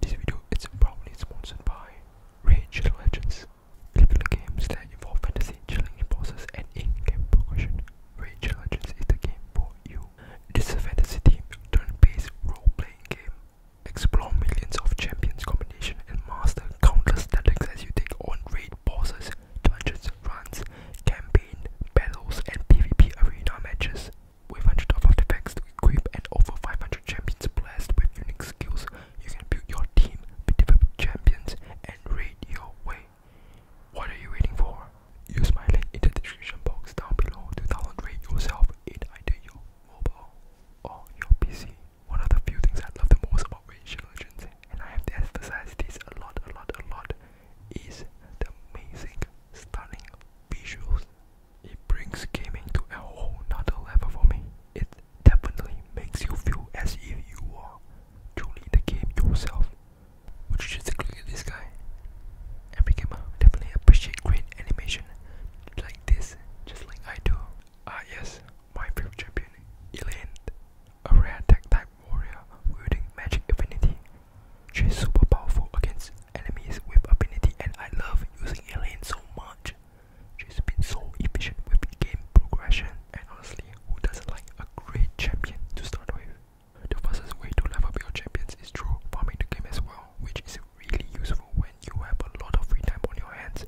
This video is probably sponsored by Rage Legends, popular games that involve fantasy, challenging bosses, and in-game progression. Rage Legends is the game for you. This a fantasy team turn-based role-playing game. Explore millions of champions combination and master countless tactics as you take on raid bosses, dungeons, runs, campaign, battles, and PvP arena matches. With 100 of artifacts to equip and over 500 champions blessed with unique skills, you can build your team with champions and raid your way. What are you waiting for? Use my link in the description box down below to download raid yourself in either your mobile or your PC. One of the few things I love the most about Rage Legends, and I have to emphasize this a lot, a lot, a lot, is the amazing stunning visuals. It brings gaming to a whole nother level for me. It definitely makes you feel as if you are truly the game yourself. Would you just look at this guy? Every gamer definitely appreciate great animation like this, just like I do. Ah yes, my favorite champion, Elaine, a rare tech type warrior wielding magic infinity She's super powerful against enemies with ability and I love using Alien so much. She's been so efficient with game progression and honestly who doesn't like a great champion to start with? The fastest way to level up your champions is through farming the game as well, which is really useful when you have a lot of free time on your hands.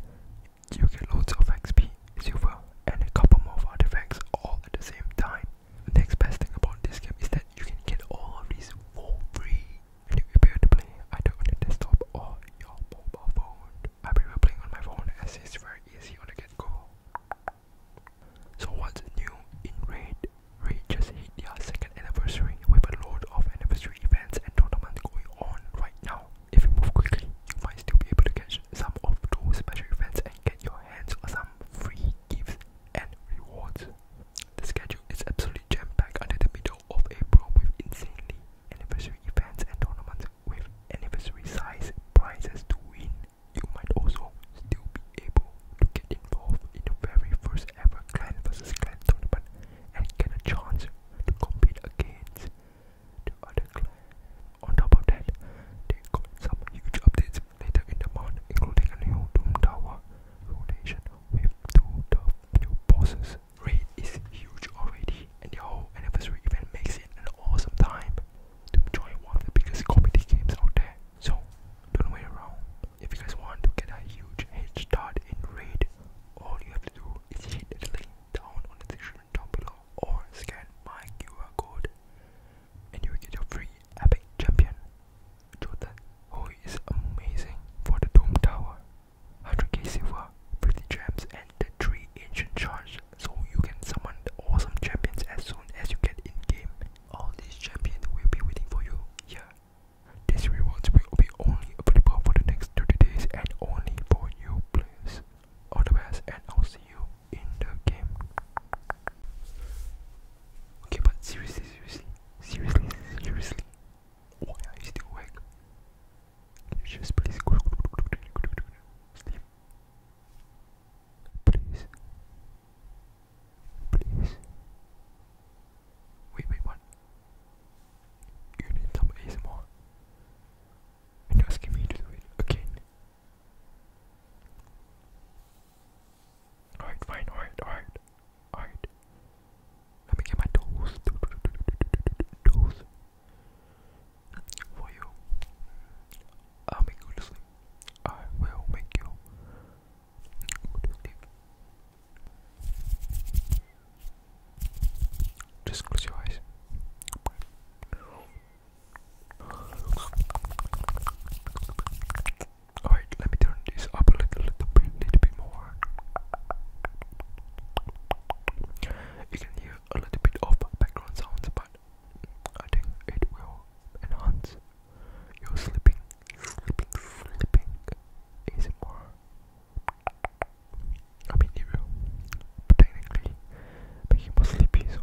You get loads of XP, silver and a couple more artifacts all at the same time. The next best thing about this game is that you can get all of these for free and you will be able to play either on your desktop or your mobile phone. I prefer playing on my phone as it's very easy on the get go. So what's new in Raid? Raid just hit their second anniversary with a load of anniversary events and tournaments going on right now. If you move quickly, you might still be able to catch some of those special events and get your hands on some free gifts and rewards. The schedule is absolutely jam-packed under the middle of April with insanely anniversary events and tournaments with anniversary size prizes to win. You might also still be able to get involved in the very first ever clan vs clan tournament and get a chance to compete against the other clans. On top of that, they got some huge updates Later in the month, including a new Doom Tower rotation with two new bosses. Raid is huge already, and the whole anniversary event makes it an awesome time to join one of the biggest comedy games out there. So, don't wait around. If you guys want to get a huge head start in Raid, all you have to do is hit the link down on the description down below or scan my QR code and you will get your free epic champion. Jordan Oi amazing for the Doom Tower. 100k silver, 50 gems, and the 3 ancient charge, so you can summon awesome champions as soon as you get in game. All these champions will be waiting for you here. These rewards will be only available for the next 30 days and only for you players. All the best, and I'll see you in the game. Okay, but seriously, seriously, seriously, seriously, why are you still awake? just please go sleep? Please. Please. Wait, wait, what? You need some ASMR? And you're asking me to do it again? Alright, fine, alright, alright, alright. Let me get my tools. Tools. For you. I'll make you sleep. I will make you sleep. Just close your eyes. Alright, let me turn this up a little, little bit, little bit more. You can hear a little bit of background sounds, but I think it will enhance your sleeping, sleeping, sleeping ASMR. I mean, it will technically make you more sleepy, so.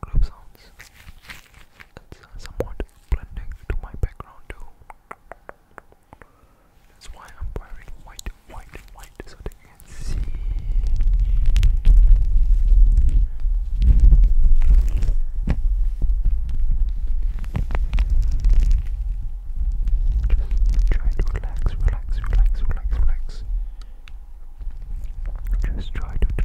Club sounds. It's uh, somewhat blending to my background That's why I'm wearing white, white, white, so they can see just try to relax, relax, relax, relax, relax. Just try to relax.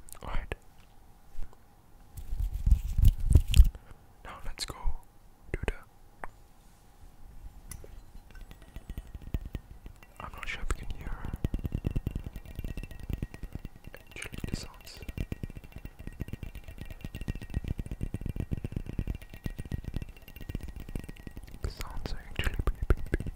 Alright. Now let's go do I'm not sure if you can hear. Actually, the sounds. The sounds are actually pretty big.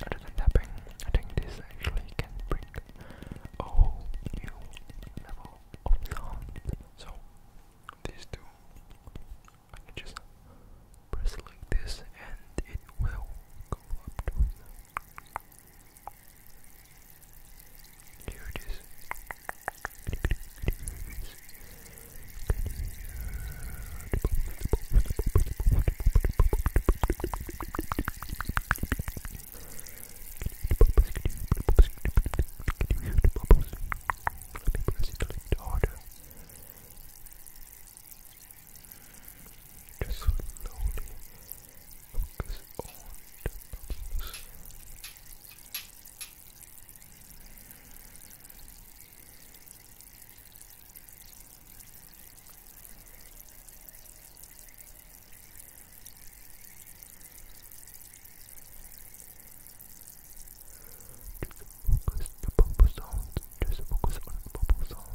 Other than tapping, I think this actually can bring a new level of sound. So these two I can just press like this and it will go up to it. Here it is. Let me press it a little harder. Just slowly focus on the bubbles focus the bubble sounds. Just focus on the bubble sounds. the bubble sounds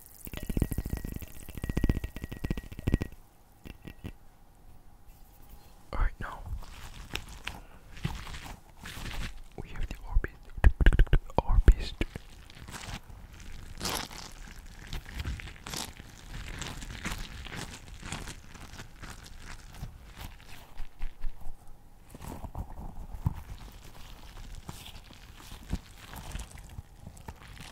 Alright, now we have the orbit. Orbit.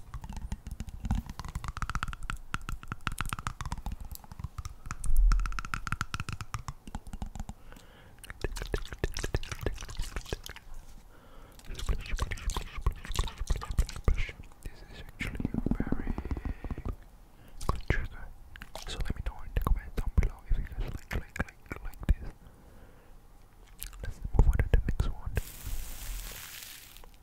This is actually very good trigger. So let me know in the comments down below if you guys like like like this. Let's move on to the next one.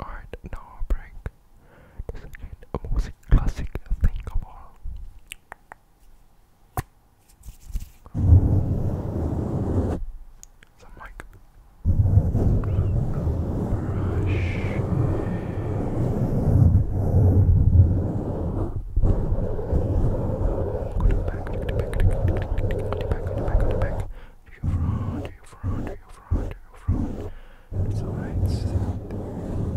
Alright, now I'll bring the classic thing of all. Some mic brush. Go to the back, go to the back, go to the back, go to the back, go to the back, go to the back. To your front, to your front, to your front, to your front. It's alright.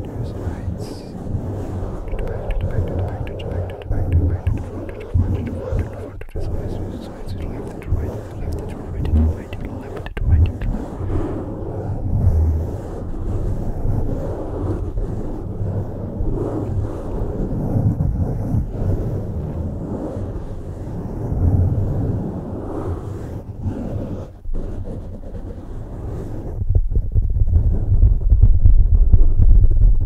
There's lights. To the back, to the back, to the back, to the back, to the back, to the back, to the front, to the front, to the front, to the front front of his eyes, his eyes, his left and right, his left and right, his right and left and right and left.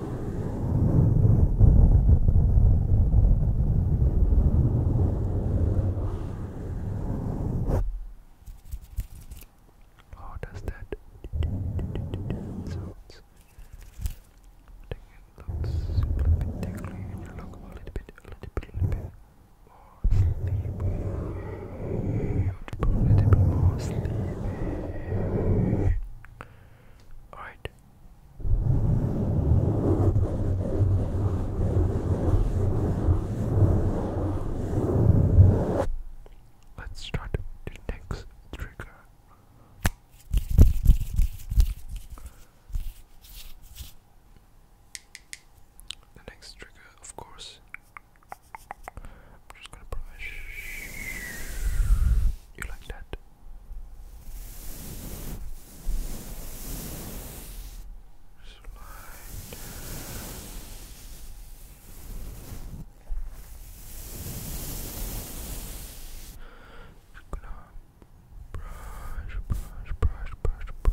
How oh, does that sounds? I think it looks a little bit tingly and you look a little bit, a little bit, a little bit more oh, sleepy. Alright. Let's start the next trigger. The next trigger, of course, I'm just gonna brush you like that. Slide. Just gonna brush, brush, brush, brush, brush.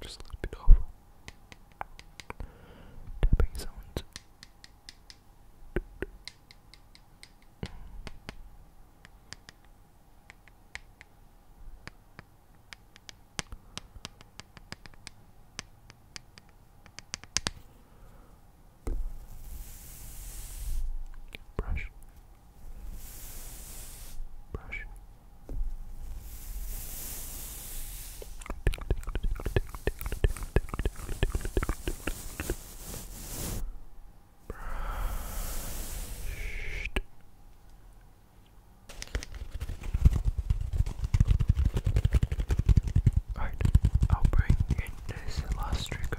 Just a little bit of tapping sounds. Brush. Brush. Alright, I'll bring in this last trigger.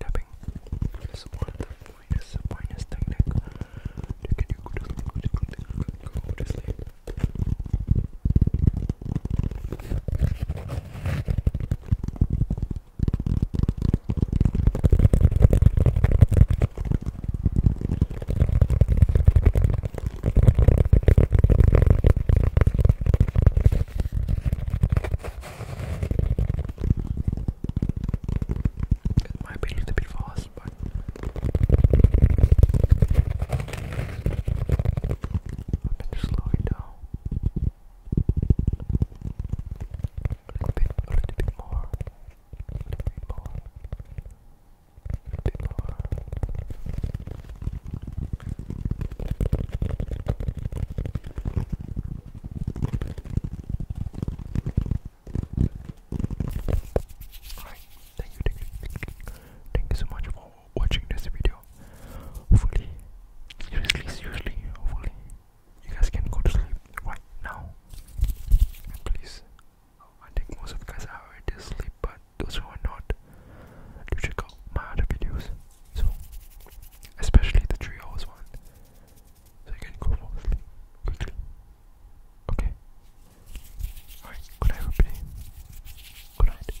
Tapping is one of the finest, finest technique to get you go to sleep, go to sleep. Go to sleep. It might be a little bit fast, but I can slow it down little bit, a little bit more, a little bit more, a little bit more. Alright, thank you, thank you, thank you so much for watching this video. Hopefully, seriously, seriously, hopefully, you guys can go to sleep right now. Please. I think most of you guys are already asleep, but those who are not, you check out my other videos. So, especially the 3 one. So you can go fall asleep quickly. Okay? Alright, good night everybody. Good night.